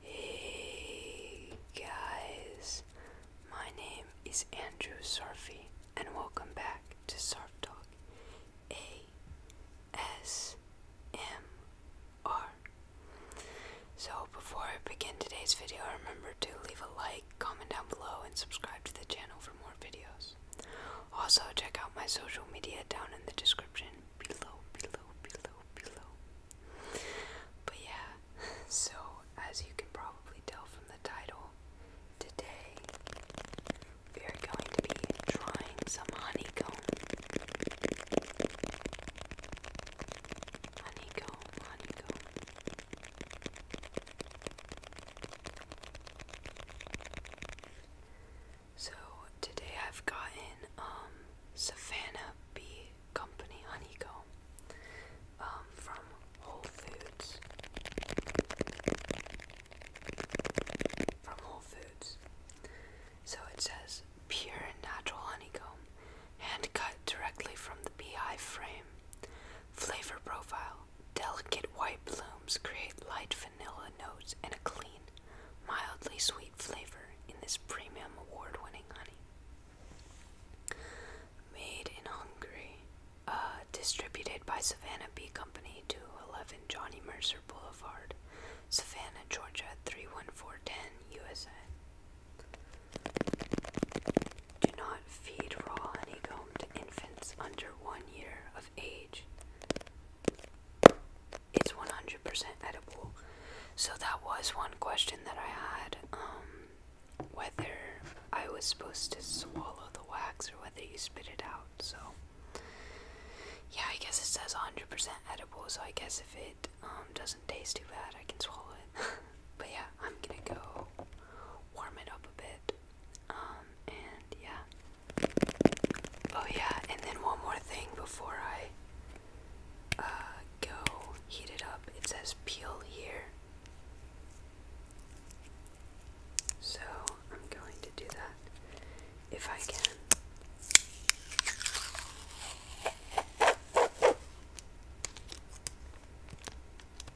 Hey guys, my name is Andrew Sarfi, and welcome back to Sarf Talk ASMR. So, before I begin today's video, remember to leave a like, comment down below, and subscribe to the channel for more videos. Also, check out my social media down in the description below, below, below, below. But yeah, so as you can probably tell from the title, today we are going to be trying some honeycomb. Honeycomb, honeycomb. So today I've gotten Savanna um, Savannah Bee Company honeycomb um, from Whole Foods. From Whole Foods. So it says pure and natural honeycomb, hand cut directly from the beehive frame. Flavor profile Delicate white blooms create light vanilla notes and a clean, mildly sweet flavor in this premium award winning honey. Made in Hungary, uh, distributed by Savannah Bee Company to Johnny Mercer Boulevard, Savannah, Georgia 31410 USA. Do not feed raw honeycomb to infants under one year age, it's 100% edible. So that was one question that I had um, whether I was supposed to swallow the wax or whether you spit it out. So, yeah, I guess it says 100% edible, so I guess if it um, doesn't taste too bad, I can swallow it. but yeah, I'm gonna go warm it up a bit. Um, and yeah. Oh yeah, and then one more thing before I uh, go heat it up. It says peel here. So I'm going to do that if I can.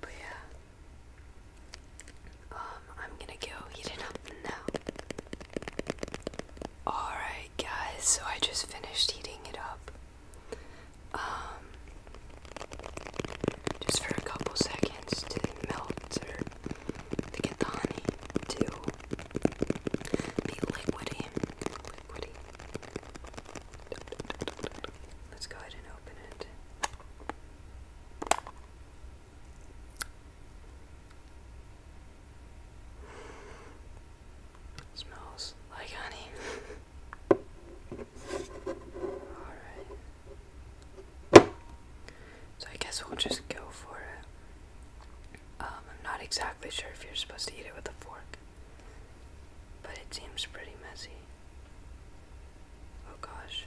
But yeah. Um, I'm gonna go heat it up now. Alright guys, so I just finished heating it up. Um just for a couple seconds to melt or to get the honey to be liquidy liquidy. Let's go ahead and open it. Smells like honey. Alright. So I guess we'll just go for it. Um, I'm not exactly sure if you're supposed to eat it with a fork. But it seems pretty messy. Oh gosh.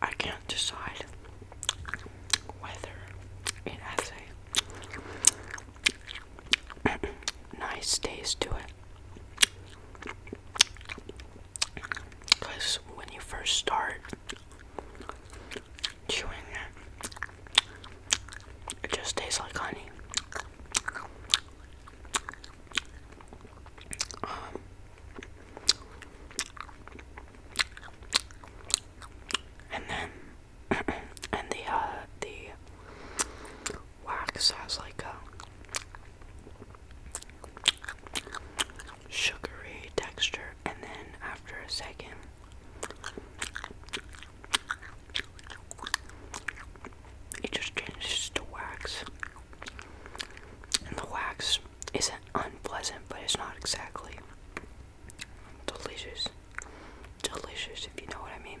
I can't decide whether it has a nice taste to it. Because when you first start chewing it, it just tastes like honey. Um, and then, and the uh, the wax has like a sugary texture, and then after a second. It just changes to wax. And the wax isn't unpleasant, but it's not exactly delicious. Delicious, if you know what I mean.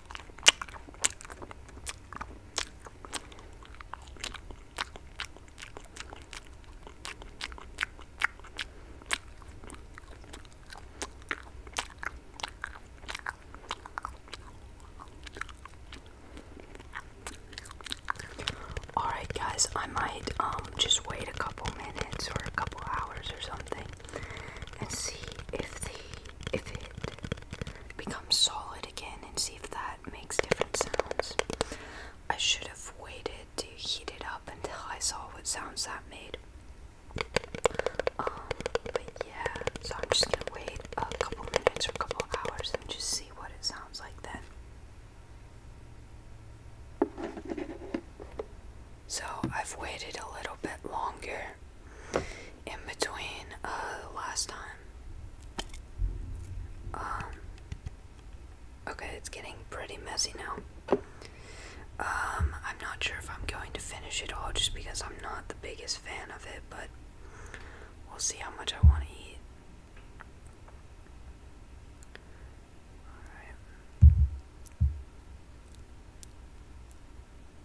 Alright, guys, I might um, just wait a couple minutes or a couple hours or something and see if the if it becomes solid again and see if that makes different sounds. I should have waited to heat it up until I saw what sounds that made. Um, but yeah, so I'm just gonna wait a couple minutes or a couple hours and just see what it sounds like then. So I've waited a little bit longer in between uh, last time. Um, okay, it's getting pretty messy now. Um, I'm not sure if I'm going to finish it all just because I'm not the biggest fan of it, but we'll see how much I want to eat. Alright.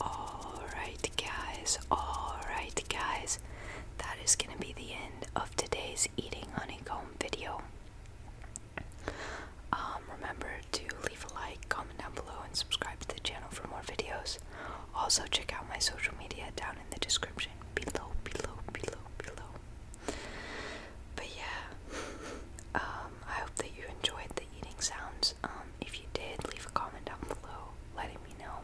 Alright, guys, alright, guys, that is going to be the end of today's eating honeycomb video. Um, remember to leave a like, comment down below, and subscribe to the channel for more videos. Also, check out my social media down in the description below, below, below, below. But yeah, um, I hope that you enjoyed the eating sounds. Um, if you did, leave a comment down below letting me know.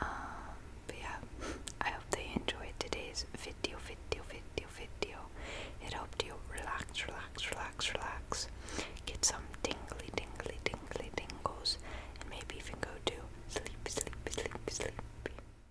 Um, but yeah, I hope that you enjoyed today's video, video, video, video. It helped you relax, relax, relax, relax. Get some tingly, tingly, tingly, tingles, and maybe even go to sleep, sleep, sleep, sleep.